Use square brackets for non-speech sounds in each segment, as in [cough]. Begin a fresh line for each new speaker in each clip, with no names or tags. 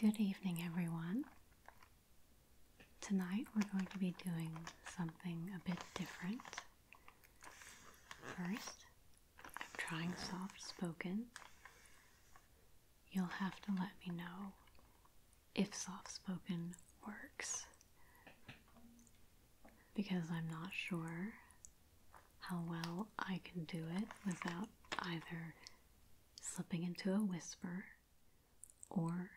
Good evening, everyone. Tonight we're going to be doing something a bit different. First, I'm trying soft spoken. You'll have to let me know if soft spoken works because I'm not sure how well I can do it without either slipping into a whisper or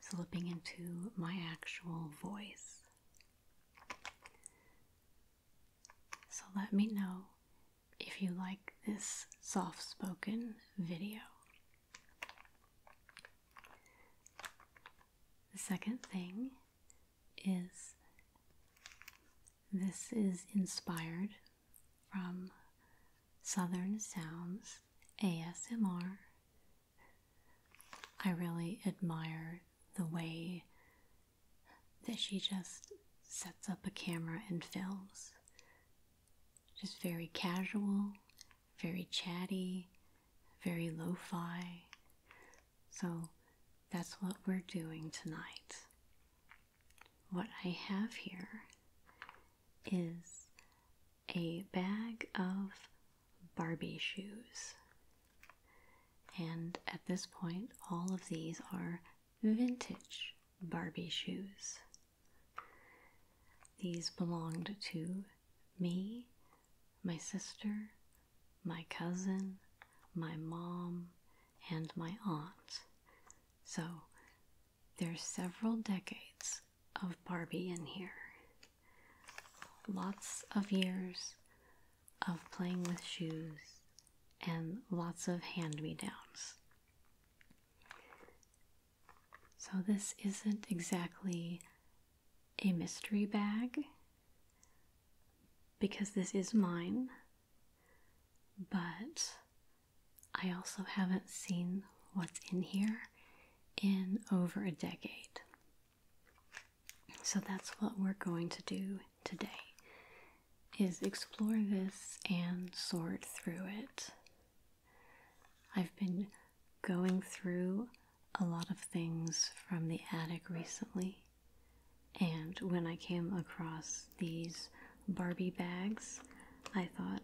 slipping into my actual voice. So let me know if you like this soft spoken video. The second thing is this is inspired from Southern Sounds ASMR. I really admire the way that she just sets up a camera and films. Just very casual, very chatty, very lo fi. So that's what we're doing tonight what I have here is a bag of Barbie shoes. And at this point, all of these are vintage Barbie shoes. These belonged to me, my sister, my cousin, my mom, and my aunt. So there's several decades of Barbie in here. Lots of years of playing with shoes and lots of hand me downs. So, this isn't exactly a mystery bag because this is mine, but I also haven't seen what's in here in over a decade. So that's what we're going to do today is explore this and sort through it. I've been going through a lot of things from the attic recently, and when I came across these Barbie bags, I thought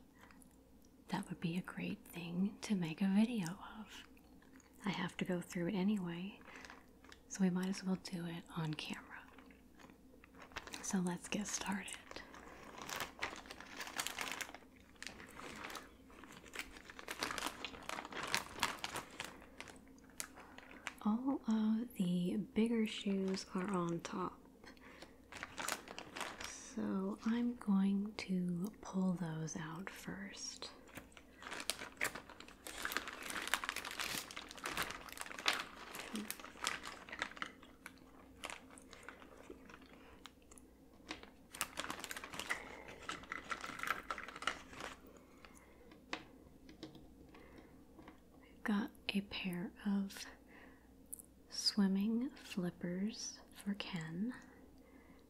that would be a great thing to make a video of. I have to go through it anyway, so we might as well do it on camera. So let's get started. All of the bigger shoes are on top so I'm going to pull those out first. We've got a pair of swimming flippers for Ken.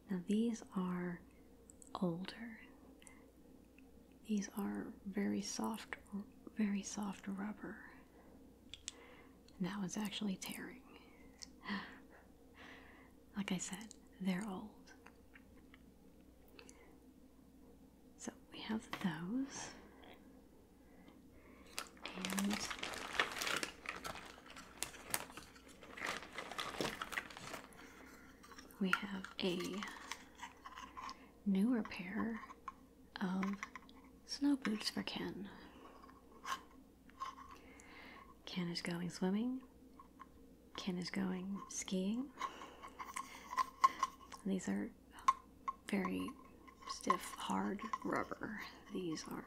Now, these are older. These are very soft, very soft rubber. And that one's actually tearing. [sighs] like I said, they're old. So we have those we have a newer pair of snow boots for Ken. Ken is going swimming. Ken is going skiing. These are very stiff, hard rubber. These are.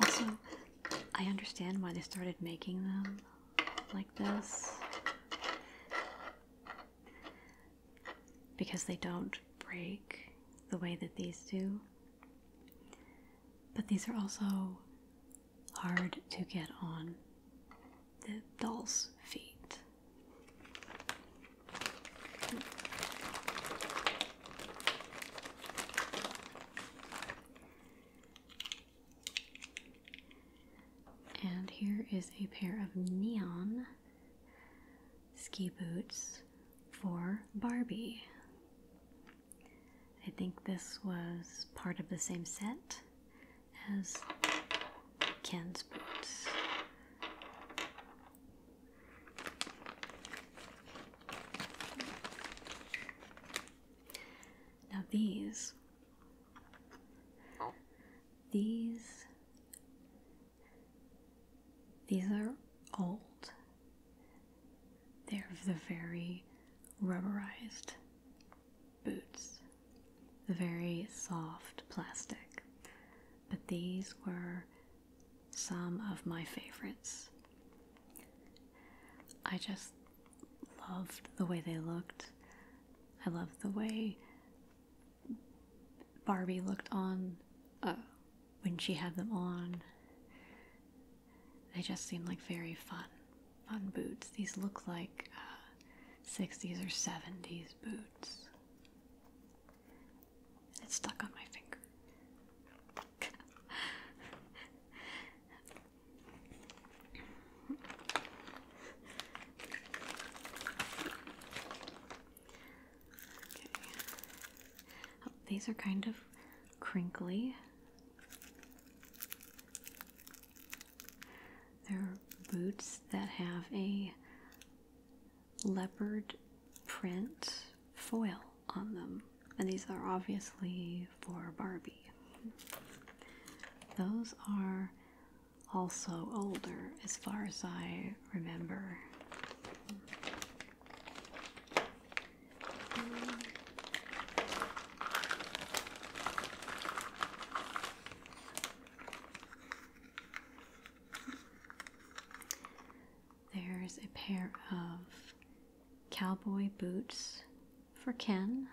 Also, I understand why they started making them like this. Because they don't break the way that these do. But these are also hard to get on the doll's feet. And here is a pair of neon ski boots for Barbie. I think this was part of the same set as Ken's boots. Now these these these are old. They're the very rubberized boots. The very soft plastic but these were some of my favorites. I just loved the way they looked. I loved the way Barbie looked on uh, when she had them on. They just seemed like very fun, fun boots. These look like uh, 60s or 70s boots. And it's stuck on my finger. Oh, these are kind of crinkly. They're boots that have a leopard print foil on them. And these are obviously for Barbie. Those are also older as far as I remember. There's a pair of cowboy boots for Ken.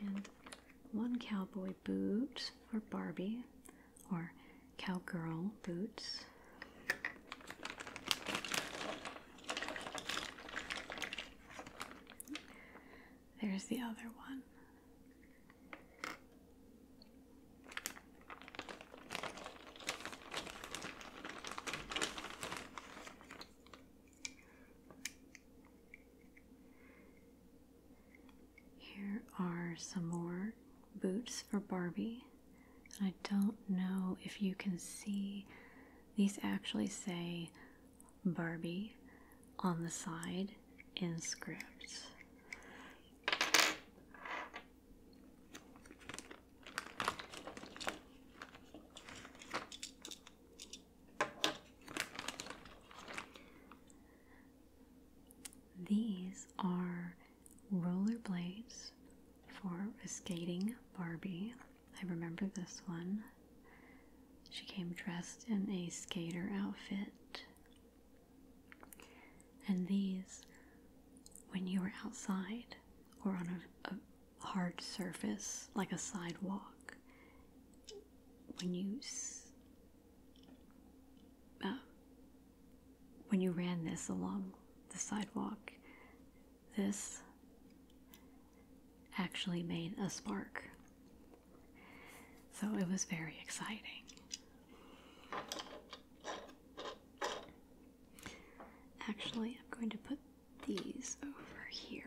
And one cowboy boot for Barbie, or cowgirl boots. There's the other one. Here are some more boots for Barbie and I don't know if you can see, these actually say Barbie on the side in script. These are roller blades for a skating Barbie. I remember this one. She came dressed in a skater outfit. And these, when you were outside or on a, hard surface like a sidewalk, when you uh, when you ran this along the sidewalk, this actually made a spark. So it was very exciting. Actually, I'm going to put these over here.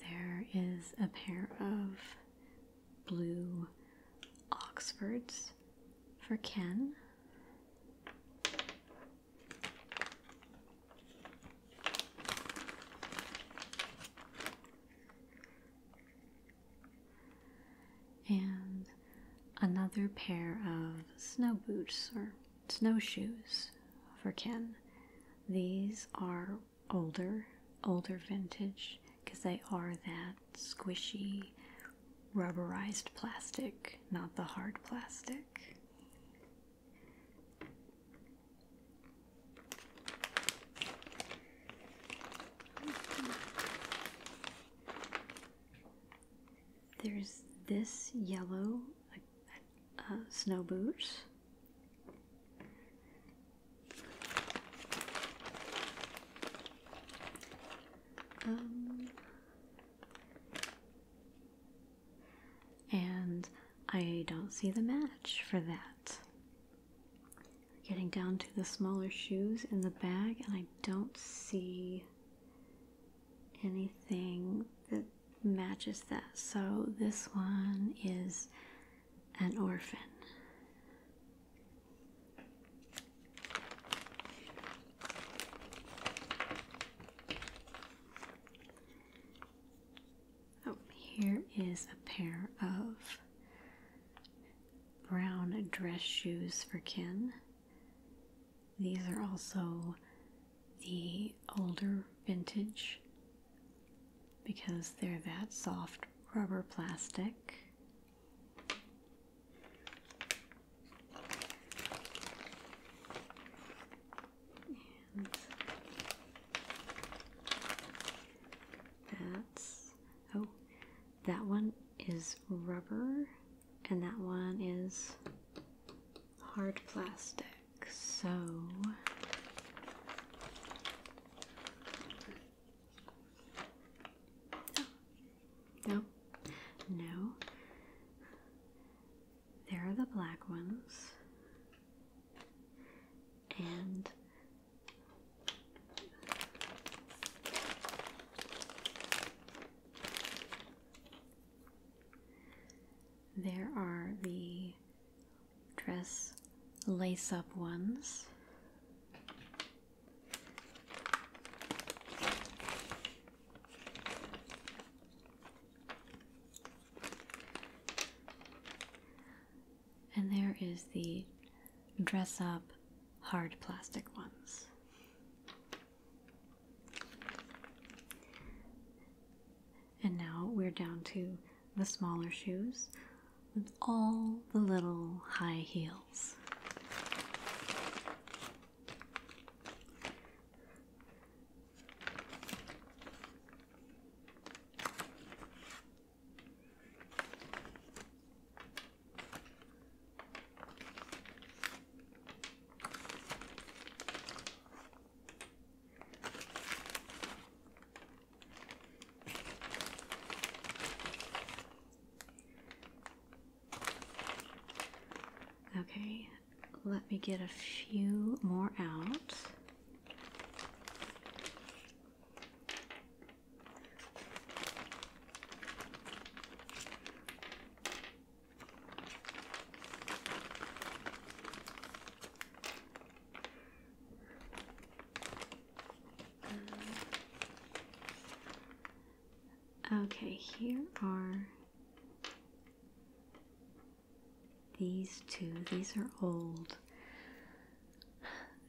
There is a pair of blue Oxfords for Ken and another pair of snow boots or snowshoes for Ken. These are older, older vintage because they are that squishy, rubberized plastic, not the hard plastic. There's this yellow uh, uh, snow boots. Um, and I don't see the match for that. Getting down to the smaller shoes in the bag, and I don't see anything that matches that. So this one is an orphan. Oh, here is a pair of brown dress shoes for Ken. These are also the older vintage because they're that soft rubber plastic. that's oh, that one is rubber and that one is hard plastic. So oh, no, no. There are the black ones, and there are the dress lace up ones. And there is the dress up hard plastic ones. And now we're down to the smaller shoes with all the little high heels. Okay, let me get a few more out okay, here are these two. These are old.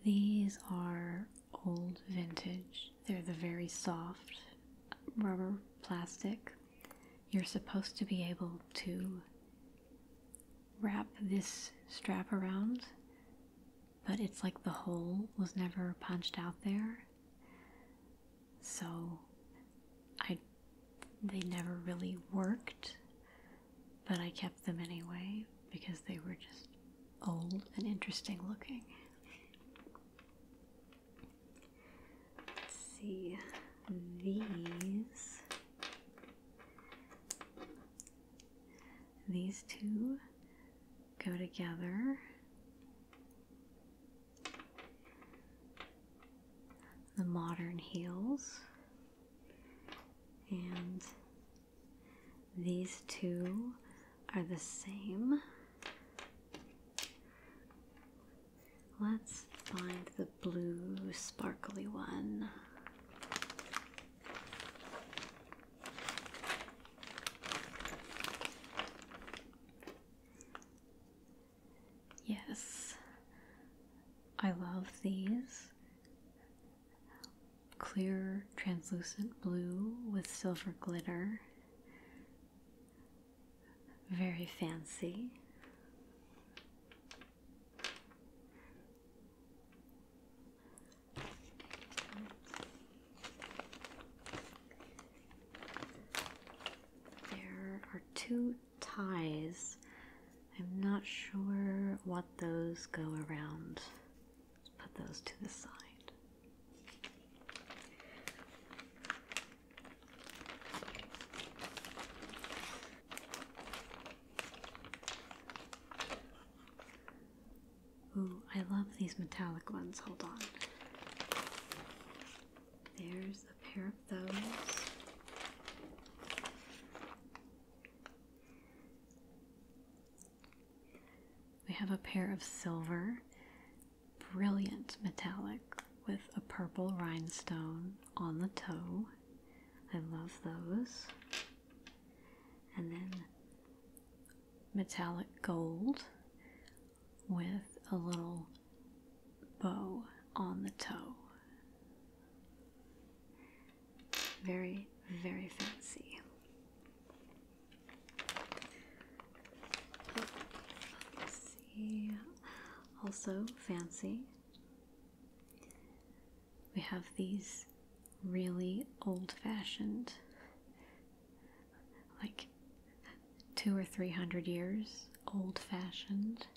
These are old vintage. They're the very soft rubber plastic. You're supposed to be able to wrap this strap around, but it's like the hole was never punched out there. So I they never really worked, but I kept them anyway because they were just old and interesting looking. Let's see these. These two go together. The modern heels and these two are the same. Let's find the blue sparkly one. Yes, I love these clear, translucent blue with silver glitter. Very fancy. There are two ties. I'm not sure what those go around. Let's put those to the side. Ooh, I love these metallic ones. Hold on. There's a pair of those. We have a pair of silver brilliant metallic with a purple rhinestone on the toe. I love those. And then metallic gold with a little bow on the toe. Very, very fancy. Also fancy. We have these really old-fashioned, like two or three hundred years old-fashioned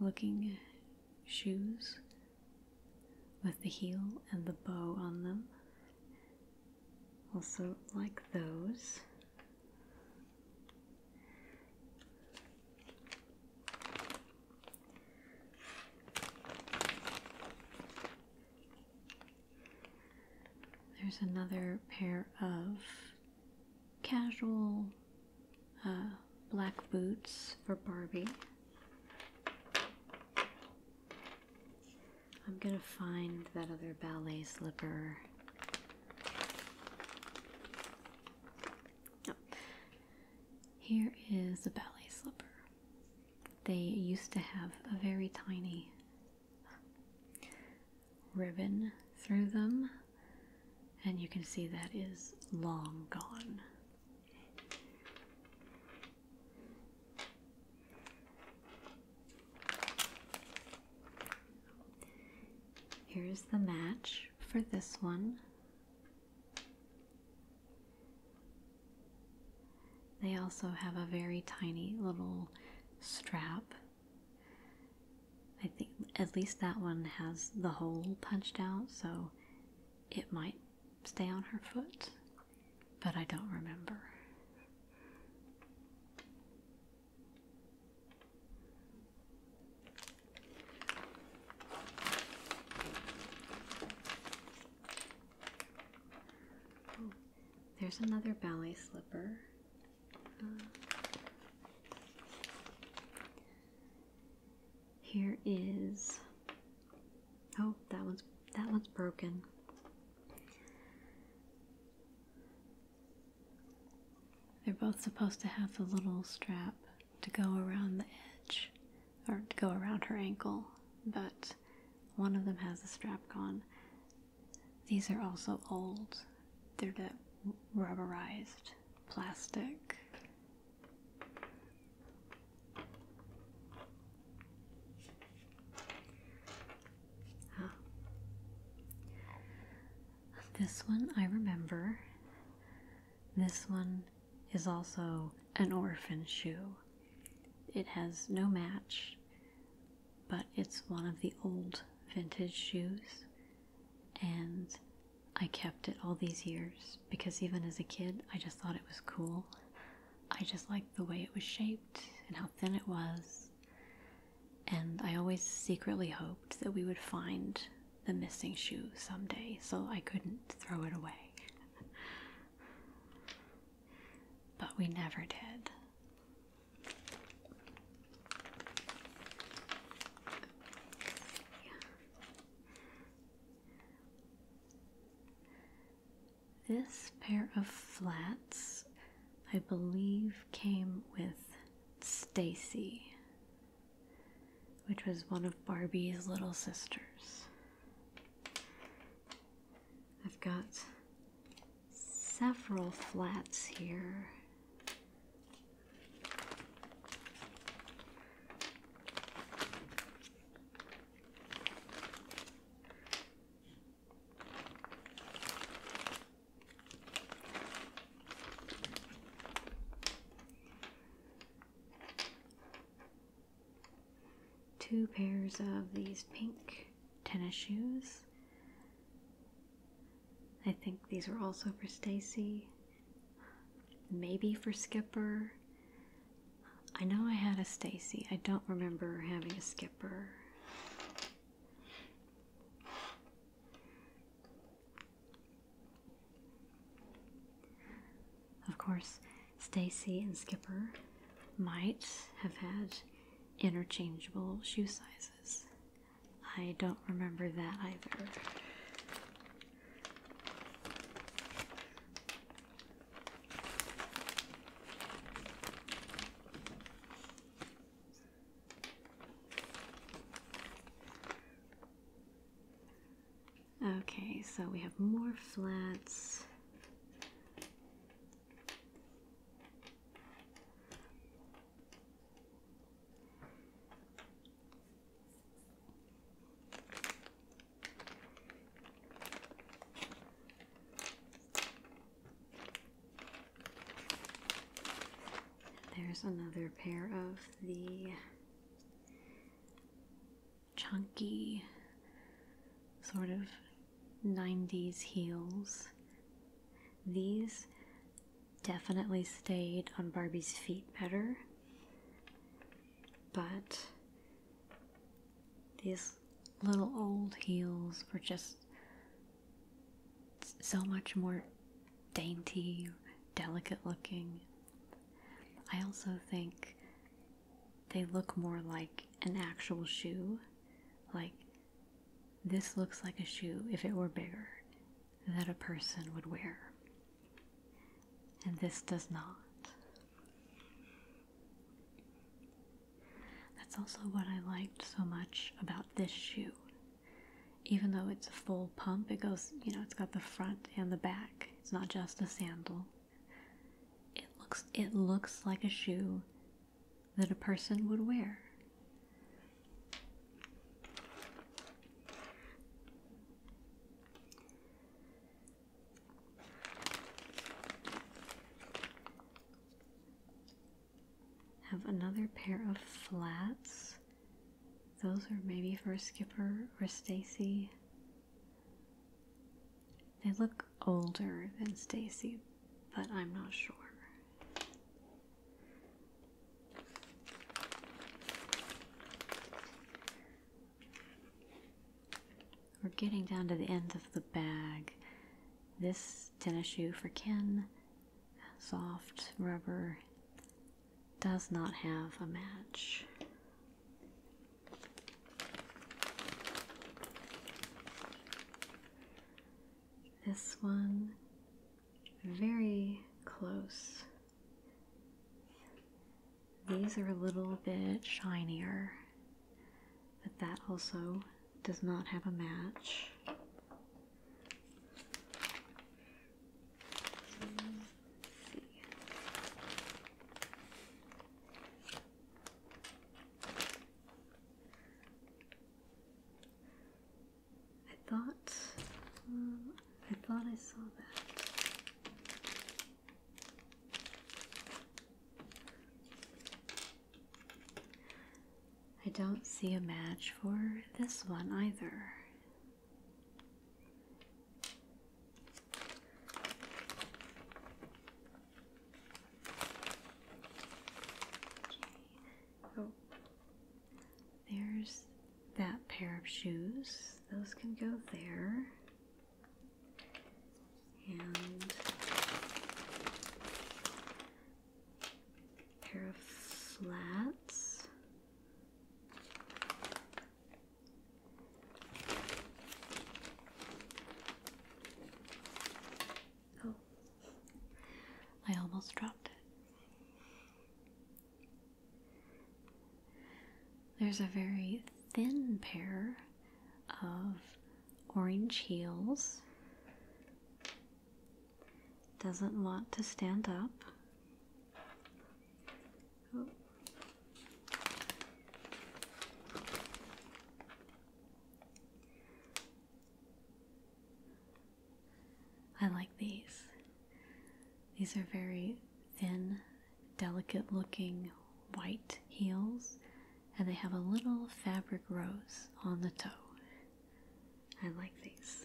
looking shoes with the heel and the bow on them. Also like those. There's another pair of casual uh, black boots for Barbie. I'm gonna find that other ballet slipper here is a ballet slipper. They used to have a very tiny ribbon through them, and you can see that is long gone. Here is the match for this one. They also have a very tiny little strap. I think at least that one has the hole punched out, so it might stay on her foot, but I don't remember. Oh, there's another ballet slipper. Uh, here is oh that one's that one's broken. They're both supposed to have the little strap to go around the edge or to go around her ankle, but one of them has the strap gone. These are also old. They're rubberized plastic. This one I remember. This one is also an orphan shoe. It has no match, but it's one of the old vintage shoes, and I kept it all these years because even as a kid, I just thought it was cool. I just liked the way it was shaped and how thin it was and I always secretly hoped that we would find the missing shoe someday so I couldn't throw it away. [laughs] but we never did. This pair of flats, I believe, came with Stacy, which was one of Barbie's little sisters. I've got several flats here. Two pairs of these pink tennis shoes. I think these are also for Stacy. Maybe for Skipper. I know I had a Stacy. I don't remember having a Skipper. Of course, Stacy and Skipper might have had interchangeable shoe sizes. I don't remember that either. Okay, so we have more flats. There's another pair of the chunky sort of 90s heels. These definitely stayed on Barbie's feet better, but these little old heels were just so much more dainty, delicate looking. I also think they look more like an actual shoe. Like, this looks like a shoe if it were bigger that a person would wear. And this does not. That's also what I liked so much about this shoe even though it's a full pump, it goes, you know, it's got the front and the back. It's not just a sandal. It looks it looks like a shoe that a person would wear. Have another pair of flats. Those are maybe for Skipper or Stacy. They look older than Stacy, but I'm not sure. We're getting down to the end of the bag. This tennis shoe for Ken, soft rubber does not have a match. This one, very close. These are a little bit shinier, but that also does not have a match. I thought um, I thought I saw that. I don't see a match for this one either. Oh, there's that pair of shoes. Those can go there. And pair of flats. Oh, I almost dropped it. There's a very thin pair of orange heels doesn't want to stand up. I like these. These are very thin, delicate looking white heels, and they have a little fabric rose on the toe. I like these.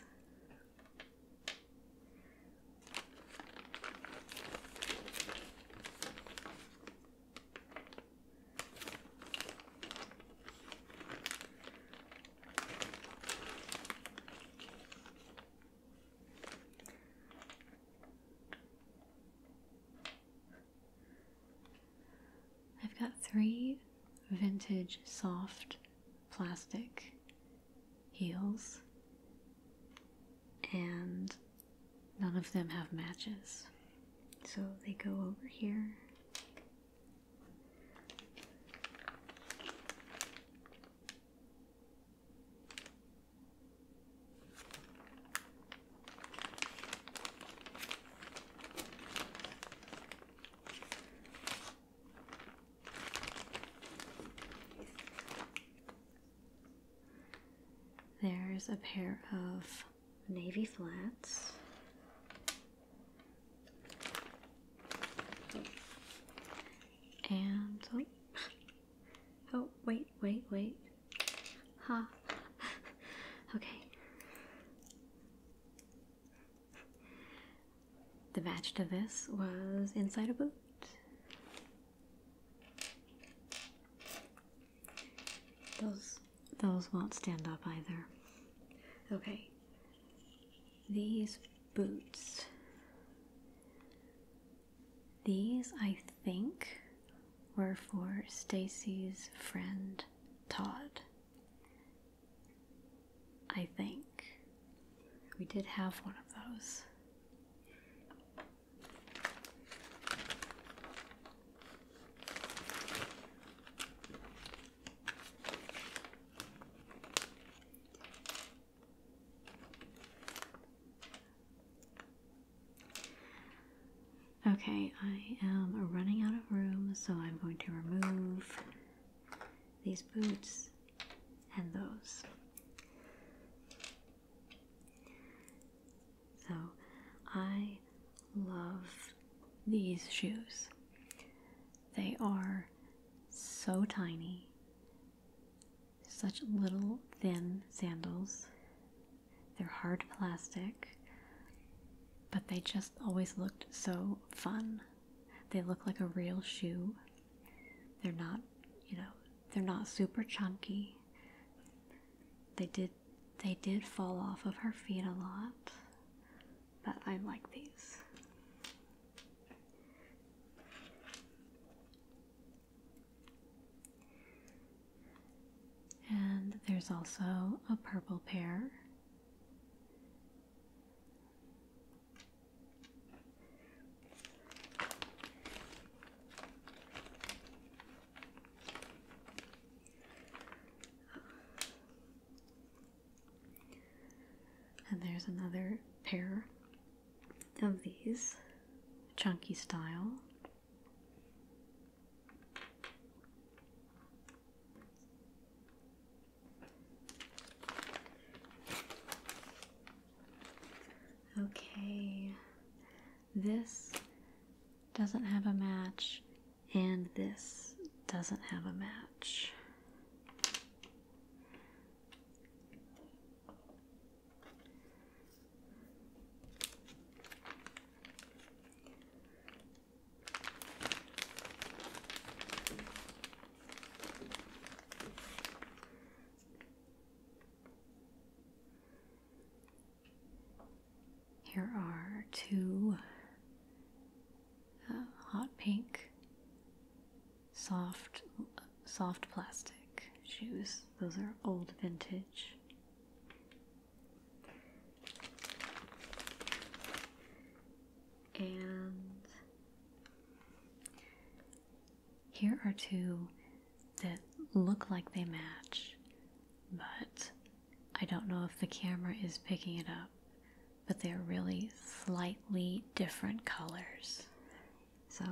I've got three vintage soft plastic heels, and none of them have matches. So they go over here. There's a pair of navy flats. And oh, oh wait, wait, wait. Ha. [laughs] Okay the match to this was inside a boot. Those those won't stand up either. Okay. These boots. These I think were for Stacy's friend Todd. I think. We did have one of those. Okay, I am running out of room, so I'm going to remove these boots and those. So I love these shoes. They are so tiny, such little thin sandals. They're hard plastic, but they just always looked so fun they look like a real shoe. They're not, you know, they're not super chunky. They did they did fall off of her feet a lot, but I like these. And there's also a purple pair. And there's another pair of these, chunky style. Okay, this doesn't have a match, and this doesn't have a match. Here are two uh, hot pink, soft, soft plastic shoes. Those are old vintage. And here are two that look like they match, but I don't know if the camera is picking it up, but they're really slightly different colors. So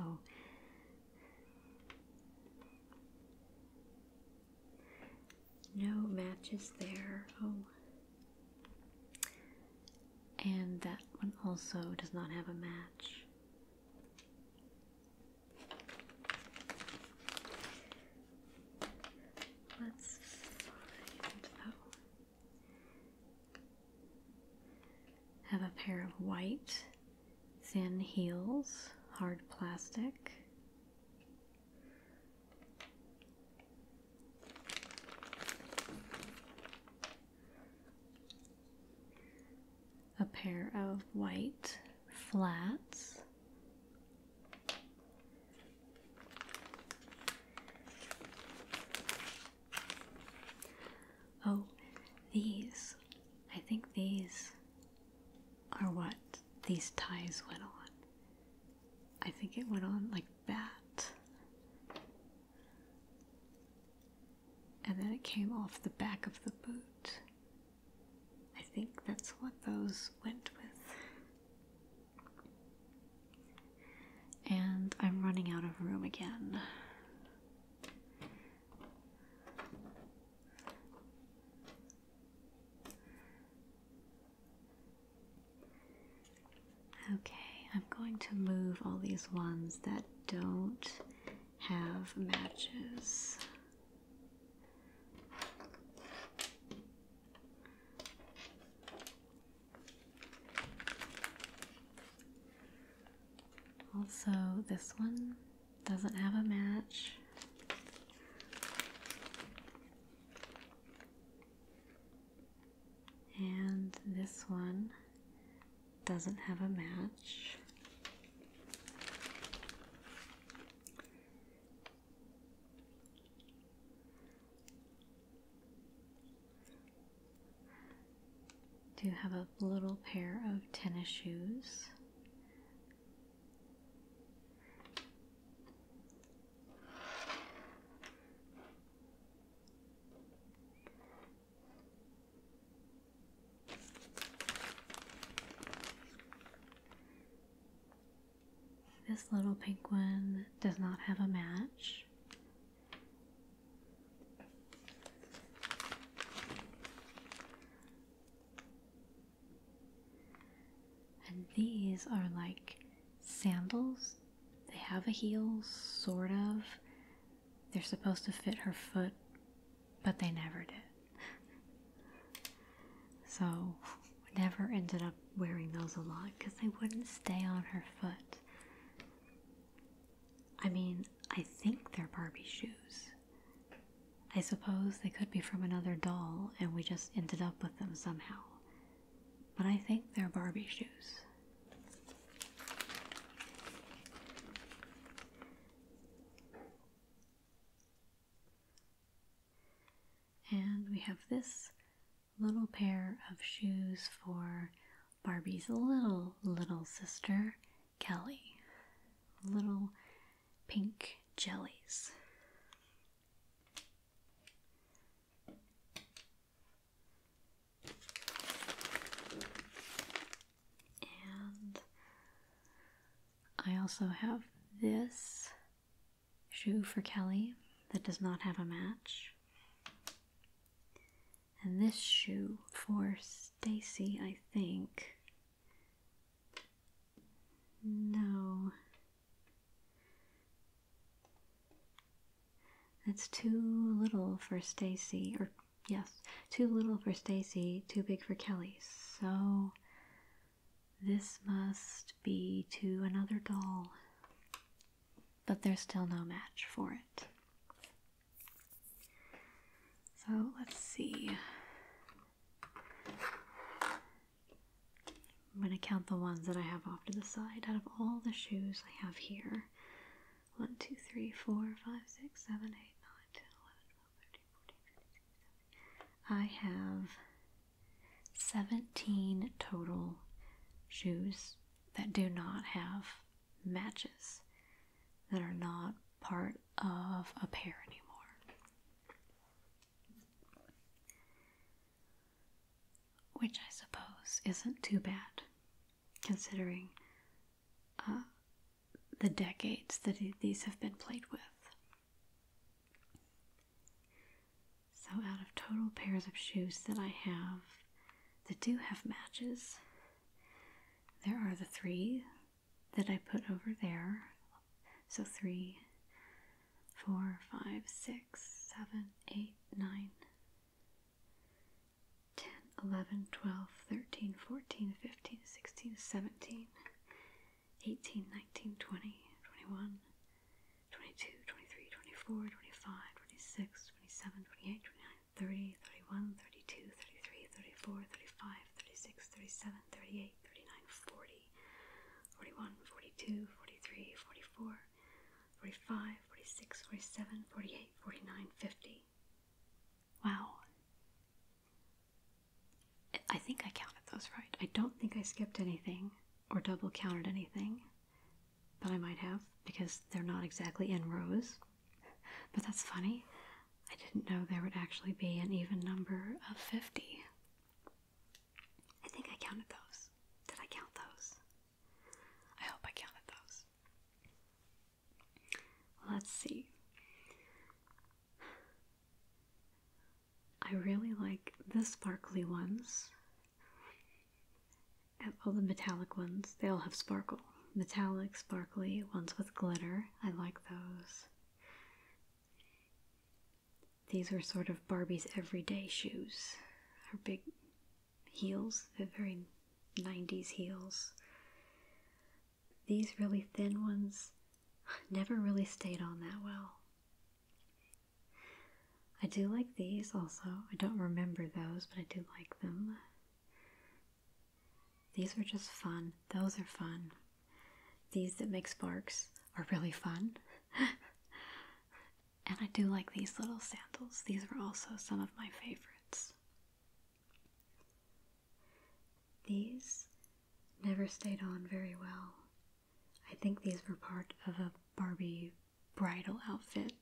no matches there. Oh, and that one also does not have a match. Let's find that one. Have a pair of white thin heels, hard plastic a pair of white flats. Oh, these. I think these are what these ties went on. I think it went on like that and then it came off the back of the boot. I think that's what those went with. And I'm running out of room again. Okay, I'm going to move all these ones that don't have matches. Also, this one doesn't have a match. And this one doesn't have a match. Do have a little pair of tennis shoes. This little pink one does not have a match. And these are like sandals they have a heel, sort of. They're supposed to fit her foot, but they never did. so, never ended up wearing those a lot because they wouldn't stay on her foot. I mean, I think they're Barbie shoes. I suppose they could be from another doll and we just ended up with them somehow but I think they're Barbie shoes. And we have this little pair of shoes for Barbie's little, little sister, Kelly. Little pink jellies. And I also have this shoe for Kelly that does not have a match. And this shoe for Stacy, I think. No. That's too little for Stacy, or yes, too little for Stacy, too big for Kelly. So this must be to another doll. But there's still no match for it. So let's see. I'm going to count the ones that I have off to the side. Out of all the shoes I have here, 1, 2, 3, 4, 5, 6, 7, 8, 9, 10, 11, I have 17 total shoes that do not have matches, that are not part of a pair anymore. Which I suppose isn't too bad, considering uh, the decades that these have been played with. So, out of total pairs of shoes that I have that do have matches, there are the three that I put over there. So, three, four, five, six, seven, eight, nine, 10, 11, 12, 13, 14, 15, 16, 17, 18, 19, 20, 21, 22, 23, 24, 25, 26, 27, 28, 29, 30, 31, 32, 33, 34, 35, 36, 37, 38, 39, 40, 41, 42, 43, 44, 45, 46, 47, 48, 49, 50. Wow. I think I counted those right. I don't think I skipped anything or double counted anything, but I might have because they're not exactly in rows. But that's funny. I didn't know there would actually be an even number of 50. I think I counted those. Did I count those? I hope I counted those. Let's see. I really like the sparkly ones. All the metallic ones, they all have sparkle. Metallic, sparkly, ones with glitter. I like those. These are sort of Barbie's everyday shoes. Her big heels, the very 90s heels. These really thin ones never really stayed on that well. I do like these also. I don't remember those, but I do like them. These are just fun. Those are fun. These that make sparks are really fun. [laughs] And I do like these little sandals. These are also some of my favorites. These never stayed on very well. I think these were part of a Barbie bridal outfit,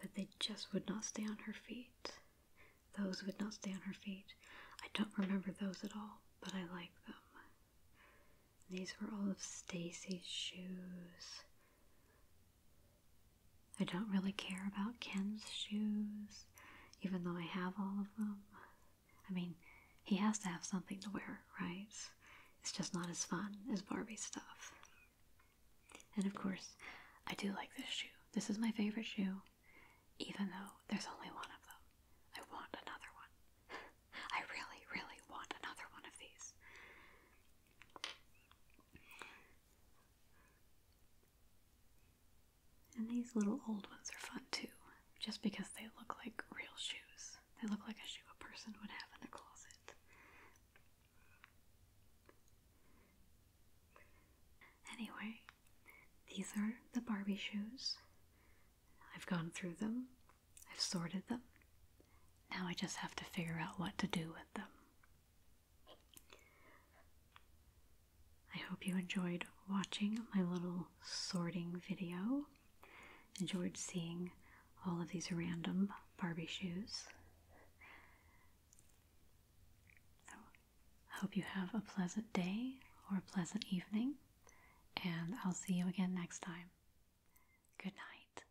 but they just would not stay on her feet. Those would not stay on her feet. I don't remember those at all, but I like them. These were all of Stacy's shoes. I don't really care about Ken's shoes, even though I have all of them. I mean, he has to have something to wear, right? It's just not as fun as Barbie stuff. And of course, I do like this shoe. This is my favorite shoe, even though there's only one of them. I want another one. [laughs] I really, really want another one of these. And these little old ones are fun too, just because they look like real shoes. They look like a shoe a person would have in their closet. Anyway, these are the Barbie shoes. I've gone through them, I've sorted them. Now I just have to figure out what to do with them. I hope you enjoyed watching my little sorting video. Enjoyed seeing all of these random Barbie shoes. So, hope you have a pleasant day or a pleasant evening, and I'll see you again next time. Good night.